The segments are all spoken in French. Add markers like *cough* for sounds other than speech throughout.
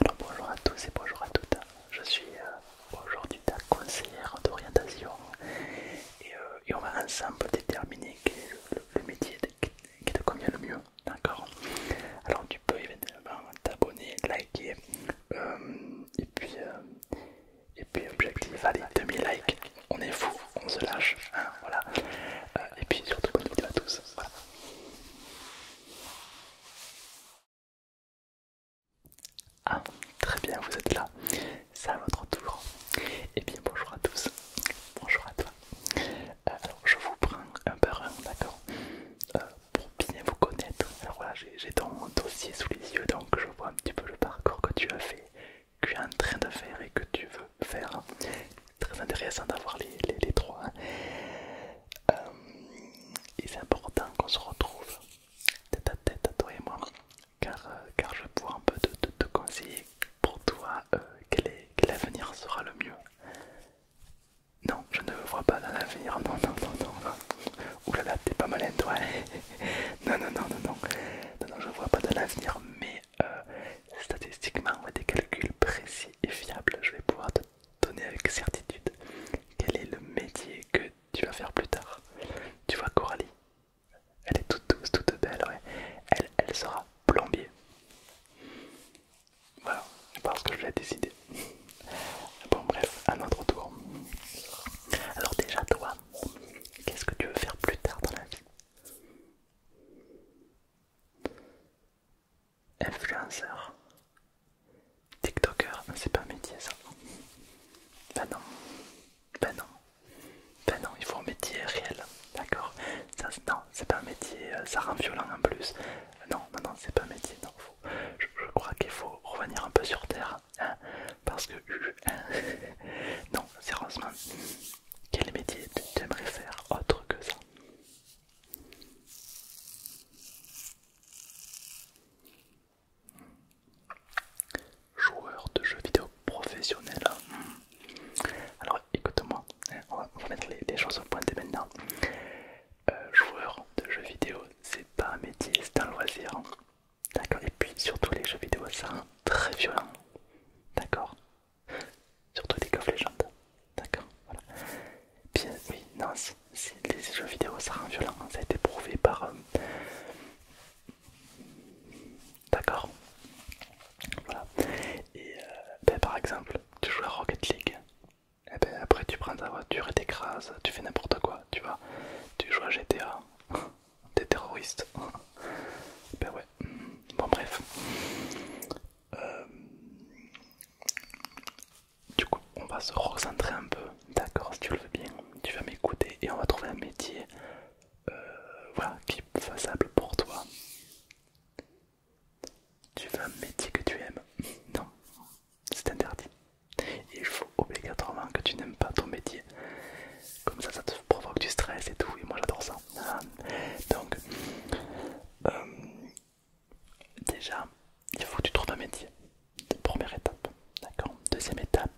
Alors bonjour à tous et bonjour à toutes. Je suis euh, aujourd'hui ta conseillère d'orientation euh, et, on va ensemble déterminer quel le, métier qui te convient le mieux. D'accord Alors tu peux évidemment t'abonner, liker euh, et puis et puis objectif allez 2000 likes. On est fou, on se lâche. Hein, voilà. et puis surtout bonne vidéo à tous. Ah, très bien, vous êtes là. C'est à votre tour. Et eh bien, bonjour à tous. Bonjour à toi. Euh, alors, je vous prends un par un, d'accord euh, Pour bien vous connaître. Alors voilà, j'ai ton dossier sous les yeux, donc je vois un petit peu le parcours que tu as fait, que tu es en train de faire et que tu veux faire très intéressant d'avoir les, trois. Hein. Euh, et c'est important qu'on se retrouve tête à tête toi et moi, car, euh, car je pourrais un peu te, conseiller pour toi euh, quel, est, avenir sera le mieux. Non, je ne vois pas dans l'avenir, non, non, non, non. Oulala, t'es pas malin toi. *laughs* non, non, non, non, non, non, je vois pas dans l'avenir, mais statistiquement des calculs précis et fiables, je vais pouvoir te donner avec certitude quel est le métier que tu vas faire plus tard. Tu vois Coralie, elle est toute douce, toute belle, elle, elle sera plombier. Voilà, parce que je l'ai décidé. Bon bref, à notre tour. Alors déjà toi, qu'est-ce que tu veux faire plus tard dans la vie Influenceur. TikToker, ah, c'est pas un métier ça. Ben non. Ben non. Ben non, il faut un métier réel. D'accord ça, Non, c'est pas un métier, euh, ça rend violent en plus. Non, non, non, c'est pas un métier. Non, je, crois qu'il faut revenir un peu sur terre. Hein. parce que... *laughs* non, sérieusement, quel métier tu aimerais faire autre que ça Joueur de jeux vidéo professionnel. Alors écoute-moi, hein, on, va mettre les, choses au point dès maintenant. Euh, joueur de jeux vidéo, c'est pas un métier, c'est un loisir. D'accord Et puis surtout les jeux vidéo, c'est très violent. D'accord Surtout les coffres légendes. D'accord, voilà. Puis oui, non, si les jeux vidéo ça rend violent, hein. ça a été prouvé par. Euh, D'accord. Voilà. Et euh, ben, par exemple, tu joues à Rocket League. Et eh ben, après tu prends ta voiture et t'écrases, tu fais n'importe quoi, tu vois. Tu joues à GTA, *laughs* t'es terroriste. *laughs* ben ouais, Bon, bref. Euh, du coup, on va se recentrer un peu, d'accord, si tu le veux bien. Tu vas m'écouter et on va trouver un métier euh, voilà, qui est faisable pour toi. Tu veux un métier que tu aimes Non, c'est interdit. Il faut obligatoirement que tu n'aimes pas ton métier. Comme ça, ça te provoque du stress et tout. Et moi, j'adore ça. Euh, donc euh, déjà il faut que tu trouves un métier première étape d'accord deuxième étape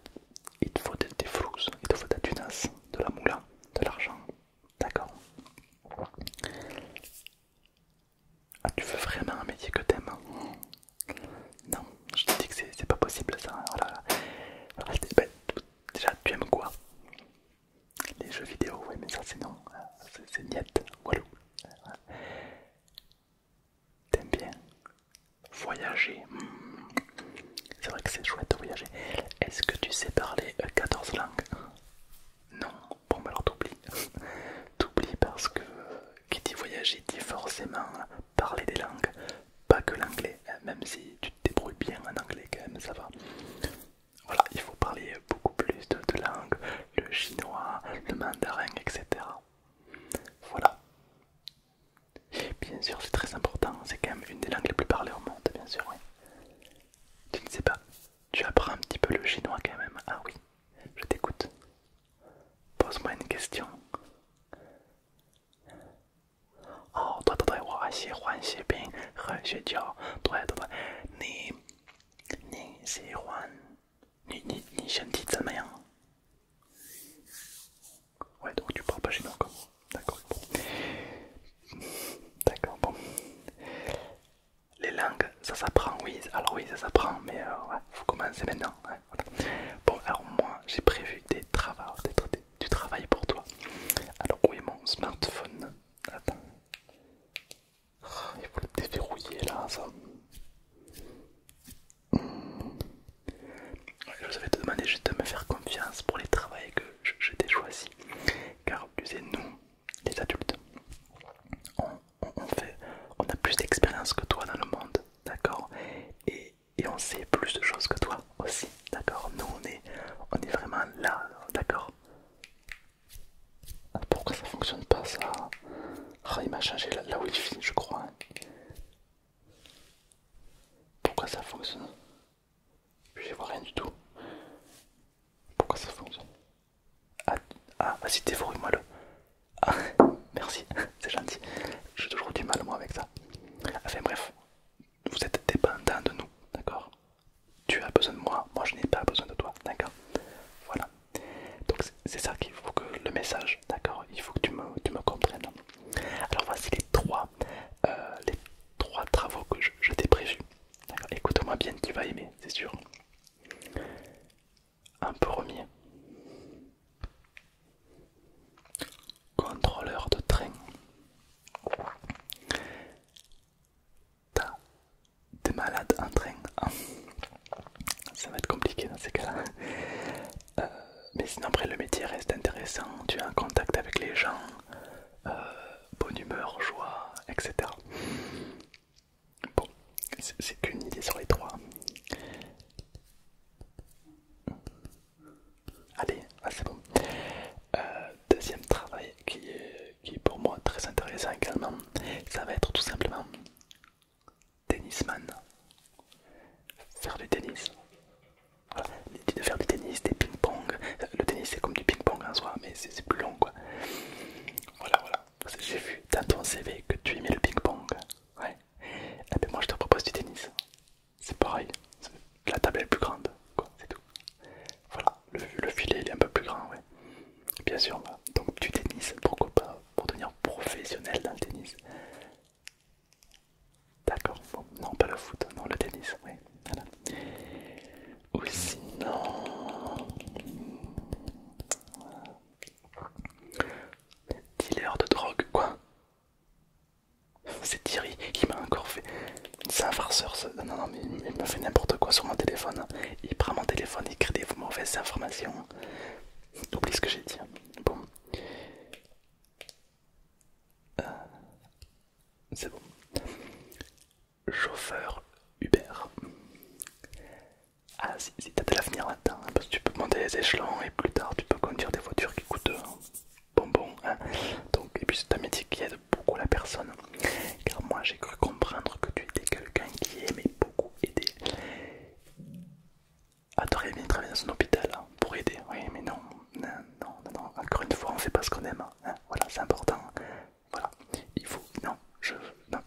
il te faut des, flous, il te faut de la tunasse de la moula de l'argent d'accord ah tu veux vraiment un métier que t'aimes hein non je te dis que c'est pas possible ça oh ben, déjà tu aimes quoi les jeux vidéo, oui, mais ça c'est non, c'est niet, walou. T'aimes bien voyager, c'est vrai que c'est chouette de voyager. Est-ce que tu sais parler 14 langues Non, bon, alors t'oublies. t'oublies parce que qui dit voyager dit forcément parler des langues, pas que l'anglais, hein, même si tu tu bien en anglais quand même, ça va. Voilà, il faut parler beaucoup plus de, de langues, le chinois, le mandarin, etc. Voilà. Bien sûr, c'est très important, c'est quand même une des langues les plus parlées au monde, bien sûr, oui. Tu ne sais pas, tu apprends un petit peu le chinois quand même. Ah oui, je t'écoute. Pose-moi une question. Oh donc tu parles pas chinois D'accord, bon. D'accord, bon. Les langues, ça s'apprend, oui. Alors oui, ça s'apprend, mais ouais, faut commencer maintenant. Bon, alors moi, j'ai prévu des travaux, des, du travail pour toi. Alors où est mon smartphone Attends. Oh, il faut le déverrouiller là, ça. Hmm. Je vous te demandé juste de me faire confiance pour les travaux que je, choisis. Car tu sais, nous, les adultes, on, a plus d'expérience que toi dans le monde, d'accord et on sait plus de choses que toi aussi, d'accord Nous on est, on est vraiment là, d'accord ah, Pourquoi ça fonctionne pas ça ah, Il m'a changé la, la wifi je crois. Hein. Pourquoi ça fonctionne Je vois rien du tout. Pourquoi ça fonctionne Ah, ah vas-y dévorer moi le. Ah, *laughs* merci, *laughs* c'est gentil. J'ai toujours du mal moi avec ça. Enfin bref, vous êtes dépendant de nous, d'accord Tu as besoin de moi, moi je n'ai pas besoin de toi, d'accord Voilà. Donc c'est ça qu'il faut que le message, d'accord Il faut que tu me, comprennes. Alors voici les trois, euh, travaux que je, t'ai prévus. Écoute-moi bien, tu vas aimer, c'est sûr. Un premier. Contrôleur de train. T'as des malades en train. Hein. Ça va être compliqué dans ces cas-là. Euh, mais sinon, après, le métier reste intéressant. Tu es en contact avec les gens, euh, bonne humeur, joie, etc. Bon, c'est qu'une idée sur les trois. Allez, c'est bon. Euh, deuxième travail qui est, pour moi très intéressant également, ça va être tout simplement tennisman. Faire du tennis. Voilà. dit de faire du tennis, des ping-pong. Le tennis c'est comme du ping-pong en soi, mais c'est plus long quoi. Voilà, voilà. J'ai vu dans ton CV que tu aimais le ping-pong. Ouais. Et eh ben, moi je te propose du tennis c'est pareil, la table est plus grande, quoi, c'est tout. Voilà, le, filet il est un peu plus grand, ouais. Bien sûr, bah, donc du tennis, pourquoi pas, pour devenir professionnel dans le tennis. D'accord, non pas le foot, non le tennis, oui, voilà. Ou sinon... Dealer de drogue, quoi c'est Thierry qui m'a encore fait. C'est un farceur. Non, non, mais il me fait n'importe quoi sur mon téléphone. Il prend mon téléphone, il crée des mauvaises informations. Oublie ce que j'ai dit. Bon. Euh, c'est bon. Chauffeur Uber. Ah, si, t'as de l'avenir là hein, parce que tu peux monter les échelons et plus tard tu peux conduire des voitures qui coûtent hein. Bonbon, Hein. Donc, et puis c'est un métier qui aide beaucoup la personne. Car moi j'ai cru comprendre que tu étais quelqu'un qui aimait beaucoup aider. Ah, t'aurais aimé travailler dans un hôpital hein, pour aider. Oui, mais non, non, non, Encore une fois, on fait pas ce qu'on aime. Hein. Hein, voilà, c'est important. Voilà, il faut, non, je,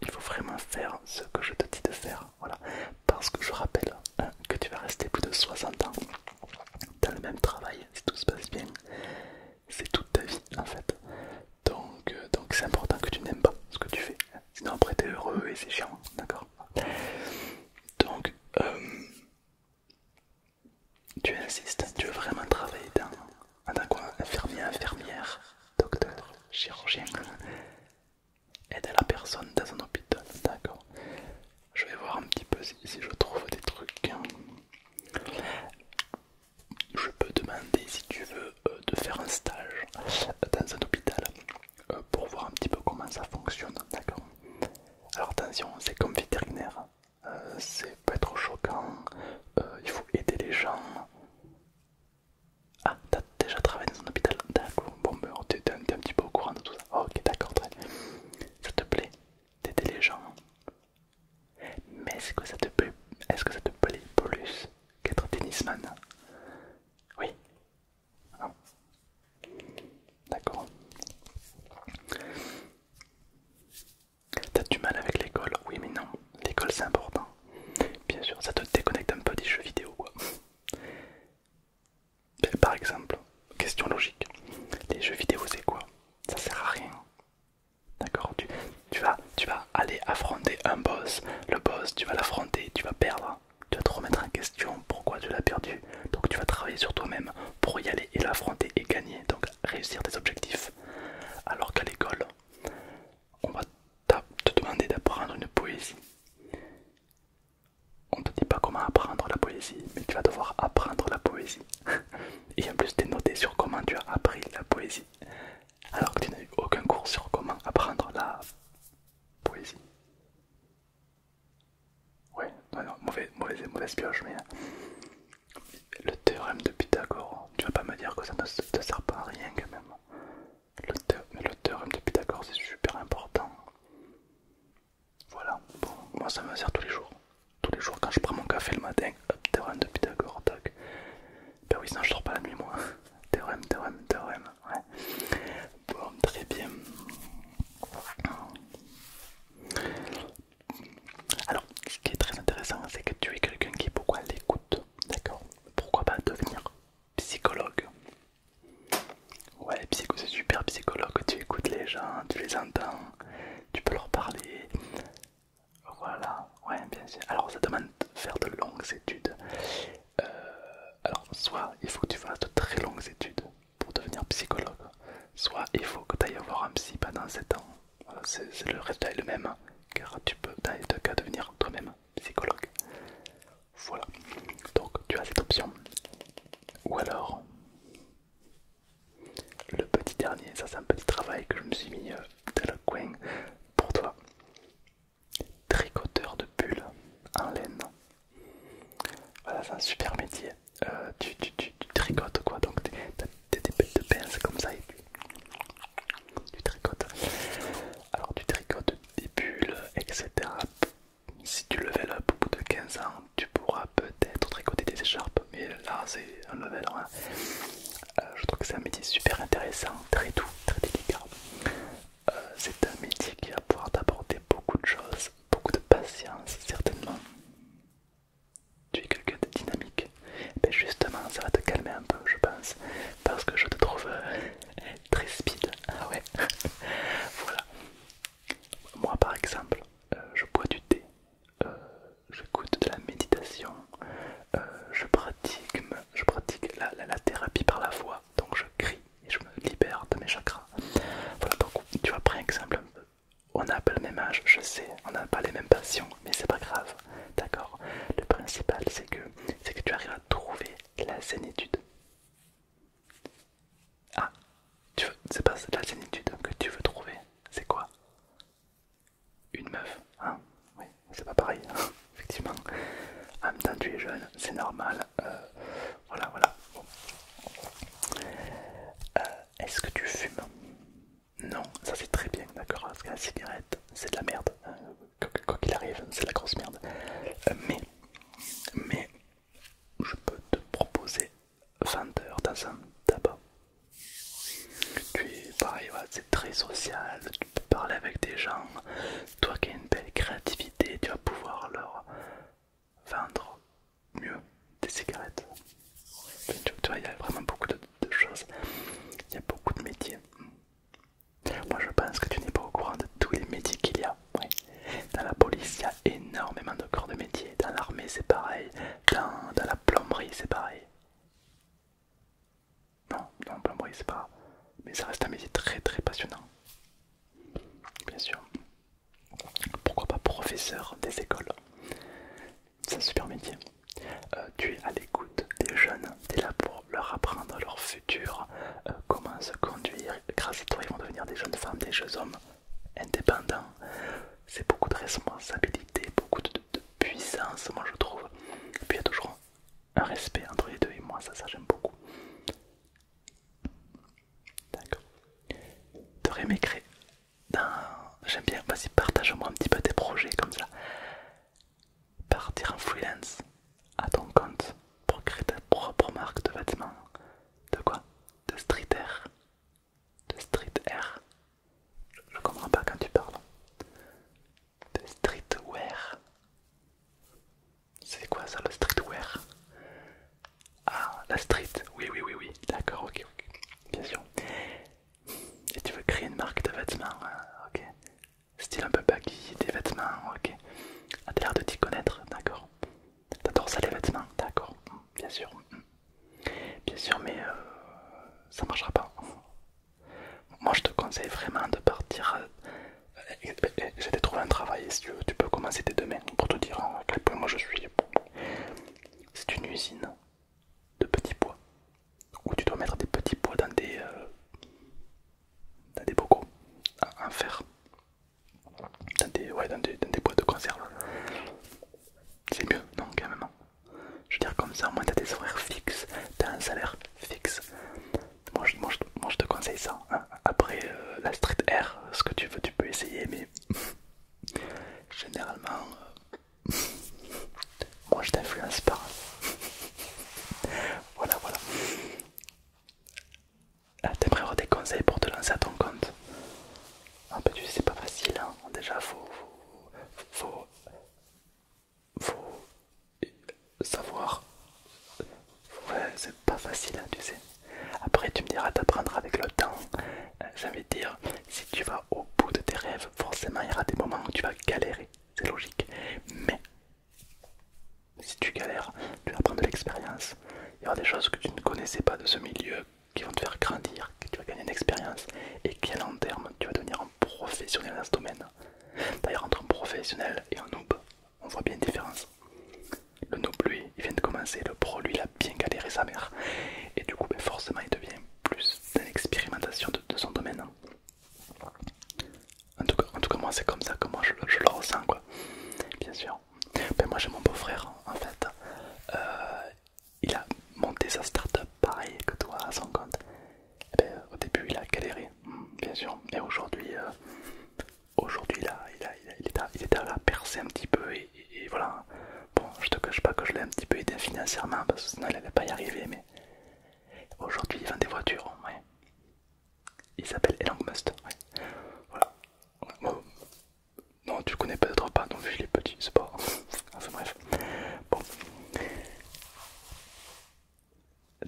il faut vraiment faire ce que je te dis de faire. Voilà, parce que je rappelle que tu vas rester plus de 60 ans dans le même travail, si tout se passe bien, c'est toute ta vie en fait. Donc euh, donc c'est important que tu n'aimes pas ce que tu fais. Sinon après t'es heureux et c'est chiant, d'accord Donc euh, tu insistes, tu veux vraiment travailler dans, dans quoi Infirmier, infirmière, docteur, chirurgien. Aider la personne dans un hôpital, d'accord je vais voir un petit peu si, je trouve des trucs. Je peux demander si tu veux euh, de faire un stage dans un hôpital euh, pour voir un petit peu comment ça fonctionne, d'accord Alors attention, c'est comme vétérinaire, euh, c'est pas trop choquant, il faut aider les gens. Ah, t'as déjà travaillé dans un hôpital D'accord, bon, ben, t'es un, petit peu au courant de tout ça. Ok, d'accord, très ça te plaît d'aider les gens Mais est-ce que ça te plaît Est-ce que ça te plaît plus qu'être tennisman Oui. Ah. D'accord. T'as du mal avec l'école Oui mais non, l'école c'est important. Bien sûr, ça te déconnecte un peu des jeux vidéo quoi. Ben, par exemple, question logique, les jeux vidéo c'est quoi Ça sert à rien. D'accord tu, vas, tu vas aller affronter un boss, le boss tu vas l'affronter, tu vas perdre, tu vas te remettre en question pourquoi tu l'as perdu, donc tu vas travailler sur toi-même pour y aller et l'affronter et gagner, donc réussir tes objectifs. Alors qu'à l'école, on va te demander d'apprendre une poésie on ne te dit pas comment apprendre la poésie, mais tu vas devoir apprendre la poésie. *laughs* Et en plus, t'es noté sur comment tu as appris la poésie, alors que tu n'as eu aucun cours sur comment apprendre la poésie. Ouais, non, non, mauvaise, mauvaise pioche, mais hein. le théorème de Pythagore, tu vas pas me dire que ça ne te sert pas à rien quand même. mais le théorème de Pythagore, c'est super important. Voilà, bon, moi ça me sert tous les jours. Tous les jours quand je prends mon café le matin, hop, théorème de Pythagore, tac. Ben oui, sinon je dors pas la nuit moi. *laughs* Théorème, théorème, théorème, ouais. Bon, très bien. Alors, ce qui est très intéressant, c'est que tu es quelqu'un qui pourquoi l'écoute, d'accord Pourquoi pas devenir psychologue Ouais, psycho, c'est super psychologue, tu écoutes les gens, tu les entends, tu peux leur parler. Voilà, ouais, bien sûr. Alors, ça demande de faire de longues études. Euh, alors, soit il faut que tu fasses de très longues études pour devenir psychologue, soit il faut que tu ailles avoir un psy pendant 7 ans. c'est le résultat est le même, car tu peux dans les deux cas devenir toi-même psychologue. Voilà. Donc tu as cette option. Ou alors le petit dernier, ça c'est un petit travail que je me suis mis dans le coin pour toi. Tricoteur de bulles en laine. Voilà, c'est un super métier. Euh, tu, tricotes quoi, donc t'as des de pince comme ça et tu tricotes. Alors tu tricotes des bulles, etc si tu level up au bout de 15 ans, tu pourras peut-être tricoter des écharpes, mais là c'est un level euh, je trouve que c'est un métier super intéressant, très doux, très délicat. Euh, c'est un métier qui va pouvoir t'apporter beaucoup de choses, beaucoup de patience certainement. Tu es quelqu'un de dynamique, ben justement ça va te calmer un peu je pense, parce que je te trouve euh, très speed. Ah ouais, *laughs* voilà, moi par exemple, euh, je bois du thé, euh, j'écoute de la méditation, euh, je pratique, je pratique la, thérapie par la voix, donc je crie et je me libère de mes chakras. Voilà, donc tu vois, par exemple, on n'a pas le même âge, je sais, on n'a pas les mêmes passions, mais c'est pas grave, d'accord Le principal c'est que, que tu arrives à trouver la zénitude. Ah, tu veux, c'est pas la sénitude que tu veux trouver, c'est quoi Une meuf, hein Oui, c'est pas pareil, hein, *laughs* effectivement. En même temps, tu es jeune, c'est normal. Euh, voilà, voilà. Euh, est-ce que tu fumes Non, ça c'est très bien, d'accord Parce que la cigarette, c'est de la merde. Hein. Quoi qu'il arrive, c'est de la grosse merde. Euh, mais, mais, je peux te proposer vendeur heures dans un tabac. pareil, c'est très social, tu peux parler avec des gens. Toi qui as une belle créativité, tu vas pouvoir leur vendre mieux des cigarettes. tu vois, il y a vraiment beaucoup de choses, il y a beaucoup de métiers. Moi je pense que tu n'es pas au courant de tous les métiers qu'il y a. Dans la police, il y a énormément de corps de métier. Dans l'armée, c'est pareil. Dans, la plomberie, c'est pareil. Non, non, plomberie, c'est pas. Mais ça reste un métier très très passionnant. Bien sûr. Pourquoi pas professeur des écoles C'est un super métier. Euh, tu es à l'écoute des jeunes, des es leur apprendre leur futur, euh, comment se conduire. Grâce à toi, ils vont devenir des jeunes femmes, des jeunes hommes indépendants. C'est beaucoup de responsabilité, beaucoup de, puissance, moi je trouve. Et puis il y a toujours un respect entre les deux et moi, ça, ça j'aime beaucoup. D'accord. T'aurais m'écrit dans... J'aime bien, vas-y, partage-moi un petit peu tes projets comme ça. Partir en freelance à ton compte pour créer ta propre marque de vêtements. De quoi De air De air Je comprends pas quand tu parles. De streetwear. C'est quoi ça le streetwear Ah, la street. Oui, oui, oui, oui. D'accord, ok, ok. Bien sûr. Et tu veux créer une marque de vêtements, hein, ok style un peu baggy, des vêtements, ok. A ah, t'as l'air de t'y connaître, d'accord. T'adores ça les vêtements, d'accord, bien sûr. Bien sûr, mais euh, ça marchera pas. Moi je te conseille vraiment de partir. Euh, J'ai trouvé un travail, si tu veux, tu peux commencer dès demain pour te dire hein, à quel point moi je suis. C'est une usine de petits bois où tu dois mettre des petits pois dans des, euh, t'as des bocaux en fer, dans des, boîtes de conserve. C'est mieux, non, quand même. Je veux dire, comme ça, au moins, t'as des horaires fixes, t'as un salaire fixe. Moi, je, te conseille ça. Hein. Après euh, la street air, ce que tu veux, tu peux essayer, mais *laughs* généralement, euh, *laughs* moi, je t'influence pas. *laughs* voilà, voilà. Ah, T'aimerais avoir des conseils pour te lancer à ton compte Un ah, bah, tu sais c'est pas facile, hein. déjà faut, faut, savoir, ouais c'est pas facile hein, tu sais. Après tu me diras t'apprendre avec le temps, euh, J'avais envie dire, si tu vas au bout de tes rêves, forcément il y aura des moments où tu vas galérer, c'est logique, mais si tu galères, tu apprends de l'expérience. Il y aura des choses que tu ne connaissais pas de ce milieu qui vont te faire grandir, que tu vas gagner une expérience et qu'à long terme, tu vas devenir un professionnel dans ce domaine. D'ailleurs, entre un professionnel et un noob, on voit bien la différence. Le noob, lui, il vient de commencer, le pro, lui, il a bien galéré sa mère. Et du coup, ben, forcément, il devient plus dans l'expérimentation de son domaine. En tout cas, moi c'est comme ça que je, le ressens quoi. Bien sûr. Mais ben, moi j'ai mon beau-frère en fait. Euh, il a monté sa startup, pareil que toi à son compte. Eh ben, au début il a galéré, bien sûr. mais aujourd'hui, euh, aujourd'hui il, il, est à, la percer un petit peu et, voilà. Bon, je te cache pas que je l'ai un petit peu aidé financièrement parce que sinon il n'allait pas y arriver. Mais aujourd'hui il vend des voitures, ouais. Il s'appelle Elon Voilà. Non, tu le connais peut-être pas, non, vu je l'ai petit, c'est pas. enfin bref. Bon.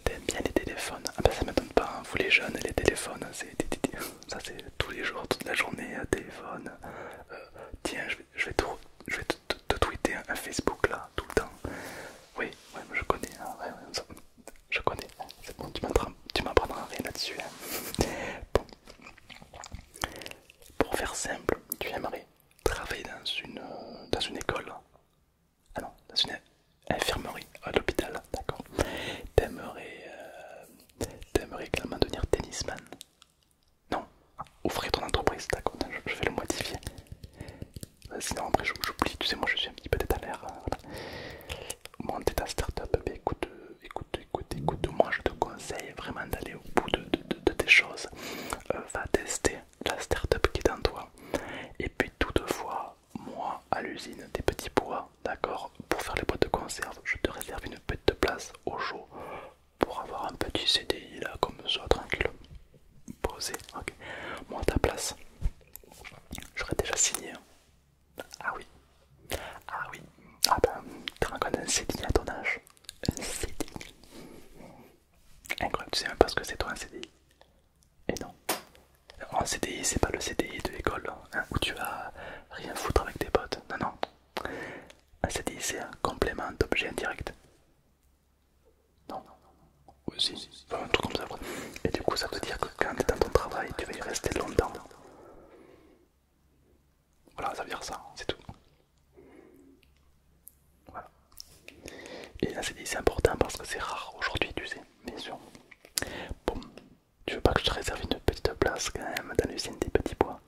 T'aimes bien les téléphones Ah bah ben, ça m'étonne pas, hein. vous les jeunes, les téléphones, c'est. Ça c'est tous les jours, toute la journée, téléphone. Euh, tiens, je vais, je vais, te, te tweeter un Facebook là, tout le temps. Oui, ouais, je connais, hein, je connais, c'est bon, tu m'apprendras rien là-dessus. Hein. Pour faire simple, tu aimerais travailler dans une, euh, dans une école, ah non, dans une infirmerie, à l'hôpital, d'accord. T'aimerais euh, également devenir tennisman. Non, ouvrir ton entreprise, d'accord, je vais le modifier. Euh, Sinon, après, j'oublie, tu sais, moi je suis un petit peu détalaire. Euh, Mon ta Startup, mais écoute, euh, écoute, écoute, écoute, moi je te conseille vraiment d'aller au bout de, tes choses. va tester la start-up qui est en toi. Et puis, toutefois, moi à l'usine des petits bois, d'accord, pour faire les boîtes de conserve, je te réserve une petite place au chaud pour avoir un petit CDI là, comme ça, tranquille, posé. ok Moi, ta place, J'aurais déjà signé. Hein. Ah oui. Ah oui. Ah ben, tu rencontres un CDI à ton âge. Un CDI. Incroyable, tu sais même pas ce que c'est toi un CDI. Et non. Oh, un CDI, c'est pas le CDI de l'école hein, où tu vas rien foutre avec tes potes. Non, non. Un CDI, c'est un complément d'objet indirect. Non, non, non. Oui, un truc comme ça. Et du coup, ça veut dire que quand tu dans ton travail, tu vas y rester longtemps. Voilà, ça veut dire ça, c'est tout. Voilà. Et là, c'est important parce que c'est rare aujourd'hui, tu sais, bien sûr. Bon, tu veux pas que je te réserve une petite place quand même dans l'usine des petits bois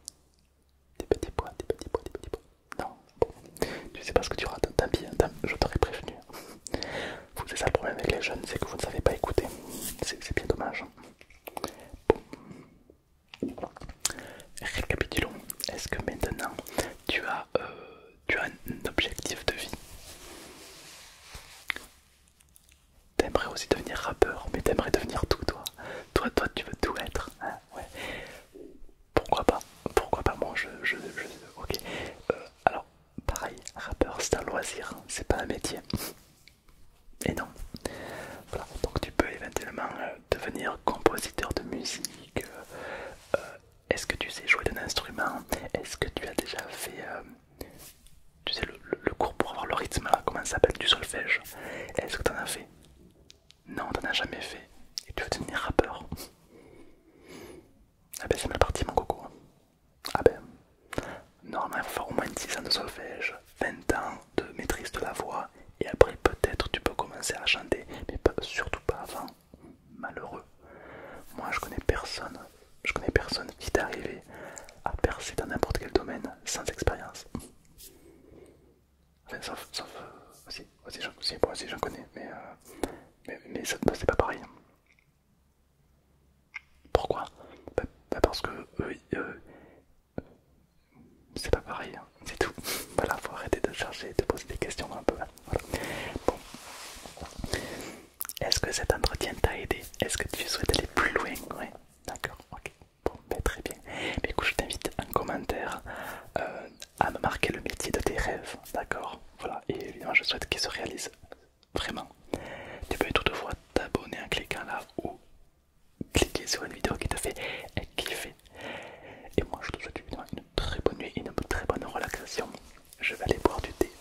Des petits bois, des petits bois, des petits bois. Non, tu sais pas ce que tu rates, tant pis, je t'aurais prévenu. C'est ça le problème avec les jeunes, c'est que vous ne savez pas écouter. C'est bien dommage. Bon. Récapitulons. Est-ce que maintenant tu as, euh, tu as un objectif de vie T'aimerais aussi devenir rappeur, mais t'aimerais devenir tout toi. Toi, toi, tu veux tout être. Hein, ouais pourquoi pas Pourquoi pas moi je, ok. Euh, alors pareil, rappeur c'est un loisir, hein, c'est pas un métier. Et non. Voilà, donc tu peux éventuellement euh, devenir compositeur de musique. Euh, est-ce que tu sais jouer d'un instrument Est-ce que tu as déjà fait tu sais le, cours pour avoir le rythme comment ça s'appelle du solfège Est-ce que tu en as fait non, en as jamais fait et tu veux devenir rappeur. Ah ben c'est mal parti mon coco. Ah ben. Normalement il faut faire au moins 6 ans de solfège, 20 ans de maîtrise de la voix et après peut-être tu peux commencer à chanter, mais surtout pas avant. Malheureux. Moi je connais personne, je connais personne qui est arrivé à percer dans n'importe quel domaine sans expérience. Enfin, sauf, aussi, si, j'en connais, mais, euh, mais, bah, c'est pas pareil. Pourquoi bah, bah, Parce que euh, c'est pas pareil, hein, c'est tout. *laughs* voilà, faut arrêter de chercher, de poser des questions un peu. Bon. Est-ce que cet entretien t'a aidé Est-ce que tu souhaites aller plus loin Ouais, d'accord, ok. Bon, ben, très bien. Mais écoute, je t'invite en commentaire. Euh, à me marquer le métier de tes rêves, d'accord Voilà, et évidemment je souhaite qu'il se réalise vraiment. Tu peux toutefois t'abonner en cliquant là ou cliquer sur une vidéo qui te fait kiffer. Et moi je te souhaite une très bonne nuit, et une très bonne relaxation. Je vais aller boire du thé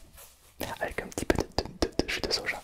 *laughs* avec un petit peu de, de jus de soja.